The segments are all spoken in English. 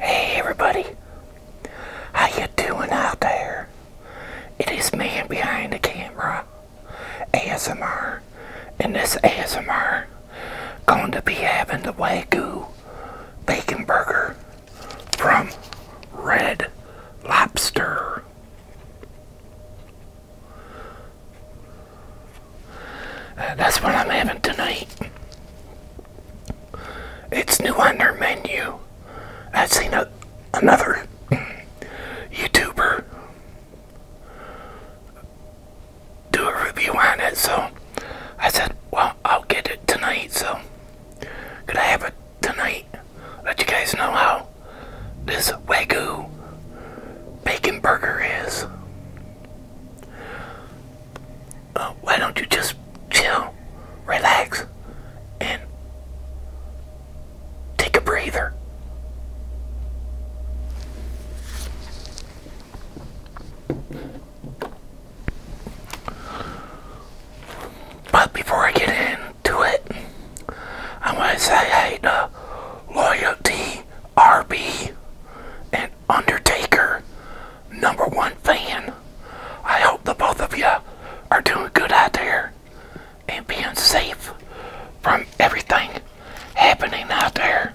Hey everybody, how you doing out there? It is man behind the camera, ASMR, and this ASMR going to be having the Wagyu Bacon Burger from Red Lobster. Uh, that's what I'm having tonight. It's new on their menu. I've seen a, another YouTuber do a review on it, so I said, well, I'll get it tonight, so could I have it tonight? Let you guys know how this Wagyu bacon burger is why don't you just chill, relax, and take a breather? But before I get into it, I want to say hey Loyalty RB and Undertaker, number one fan. I hope the both of you are doing good out there and being safe from everything happening out there.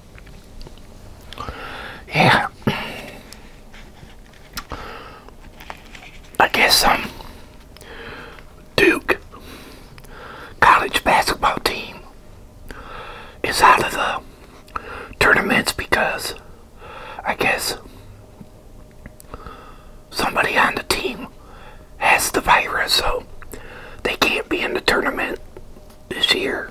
Yeah. I guess um Duke college basketball team is out of the tournaments because I guess somebody on the team has the virus so they can't be in the tournament this year.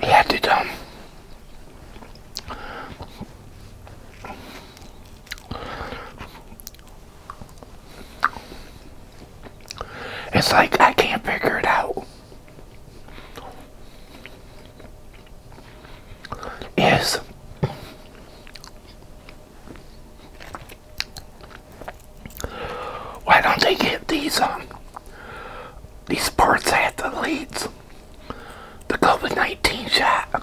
He had it's like I can't figure it out. Yes. why don't they get these um these sports athletes the COVID nineteen shot?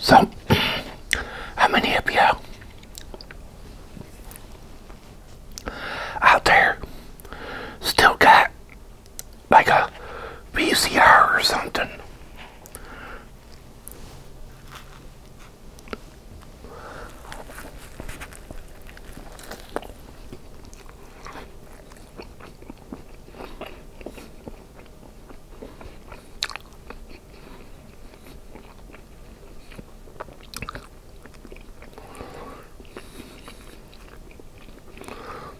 So, how many of you out there still got like a VCR or something.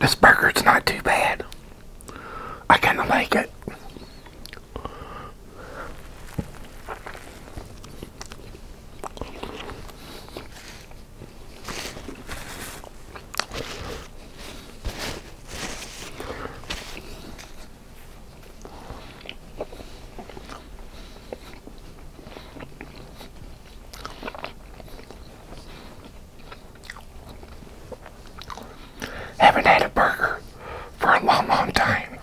This burger's not too bad. I kind of like it. Haven't had a burger for a long, long time.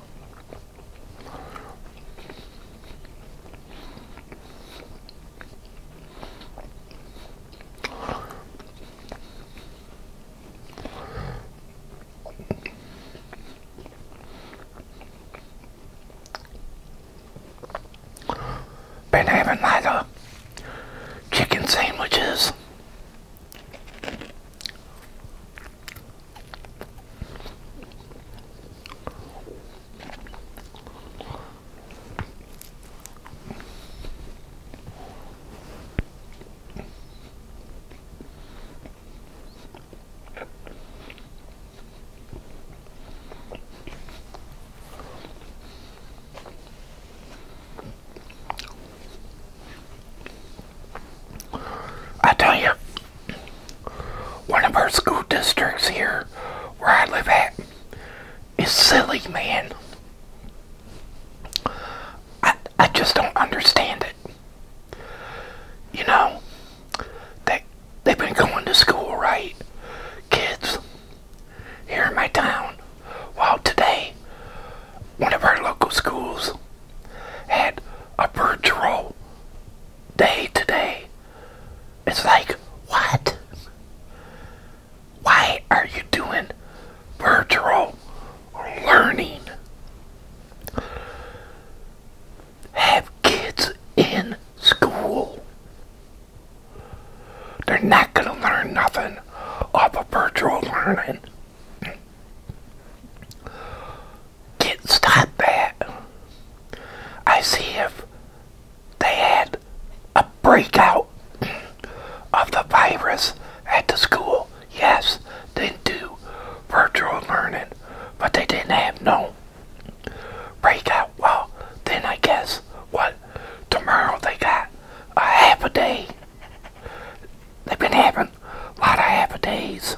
Been having like a chicken sandwiches. I tell you, one of our school districts here where I live at is silly, man. I, I just don't understand it. You know, they, they've been going to school, right? Kids here in my town. Well, today, one of our local schools had a bird patrol day today. It's like, what? Why are you doing bird patrol learning. Have kids in school. They're not going to learn nothing off a virtual learning. Can't stop that. I see if they had a breakout of the virus at the school yes, didn't do virtual learning, but they didn't have no breakout. Well, then I guess what tomorrow they got a half a day. They've been having a lot of half a days.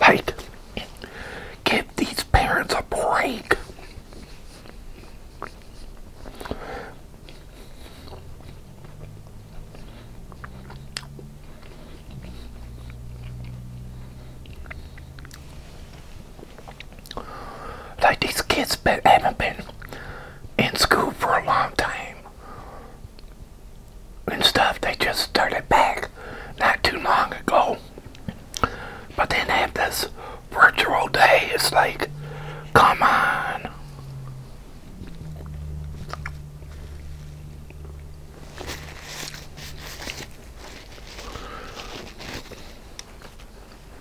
Like, give these parents a break. Like these kids been, haven't been in school for a long time and stuff. They just started back not too long ago. But then have this virtual day. It's like, come on.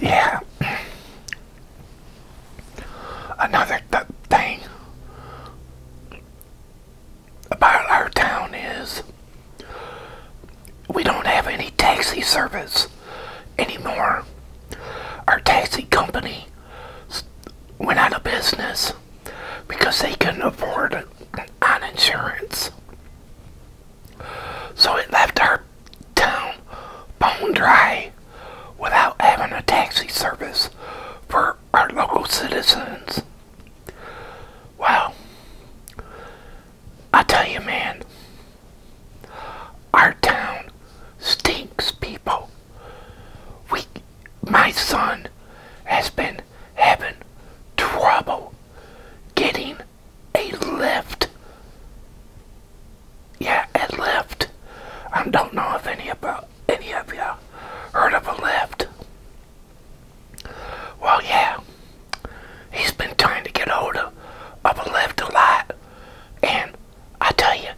yeah. Another thing about our town is we don't have any taxi service anymore. Our taxi company went out of business because they couldn't afford an insurance. So it left our town bone dry without having a taxi service for our local citizens. Well, I tell you, man, our town stinks, people. We, my son has been having trouble getting a lift. Yeah, a lift. I don't know if any about any of you heard of a lift. Well, yeah, he's been trying to get hold of, of a lift a lot, and I tell you,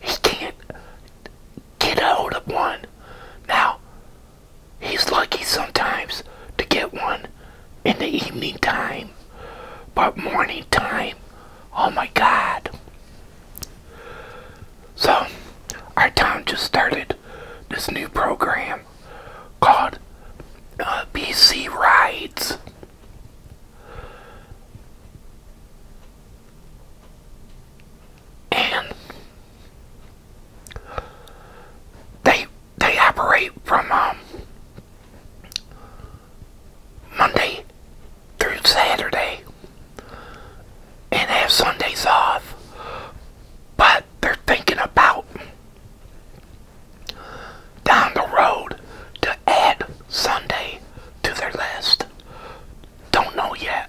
he can't get hold of one. Now, he's lucky sometimes to get one in the evening time. But morning time, oh my god. So, our town just started this new program called uh, BC Rides. And they they operate from um, Monday through Saturday and have Sundays off, but they're thinking about down the road to add Sunday to their list. Don't know yet.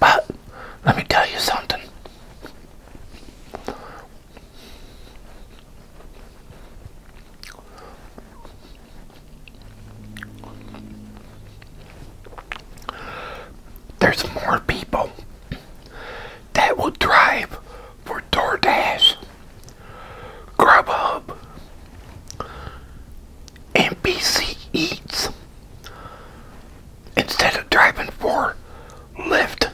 But let me tell you something. There's more people that will drive for DoorDash, Grubhub, NBC Eats instead of driving for Lyft.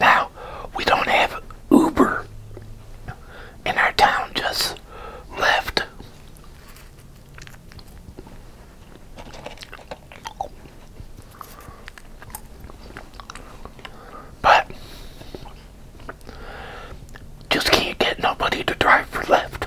Now, we don't have Uber in our town, just left. But just can't get nobody to drive for left.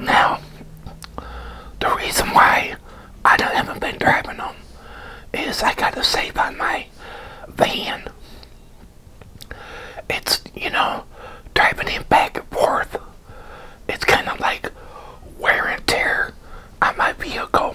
Now, the reason why I haven't been driving them is I gotta save on my van. It's, you know, driving him back and forth. It's kind of like wear and tear on my vehicle.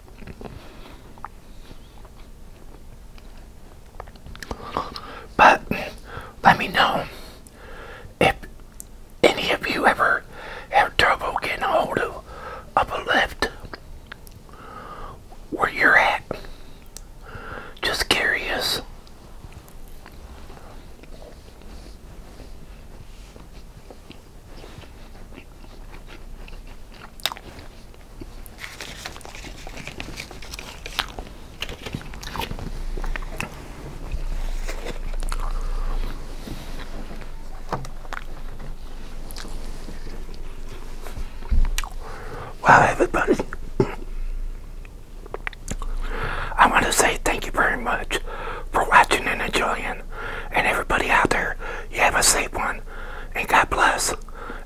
But let me know if any of you ever have trouble getting a hold of, of a lift where you're at. Just curious. Well, everybody, I want to say thank you very much for watching and enjoying. And everybody out there, you have a safe one and God bless.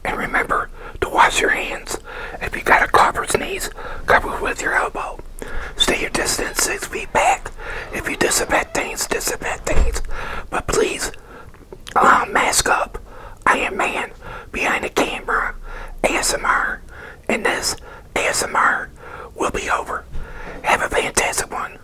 And remember to wash your hands. If you got a cough or sneeze, cover with your elbow. Stay your distance six feet back. If you disinfect things, disinfect things. But please, i um, uh, mask up. I am man behind the camera, ASMR, and this ASMR will be over. Have a fantastic one.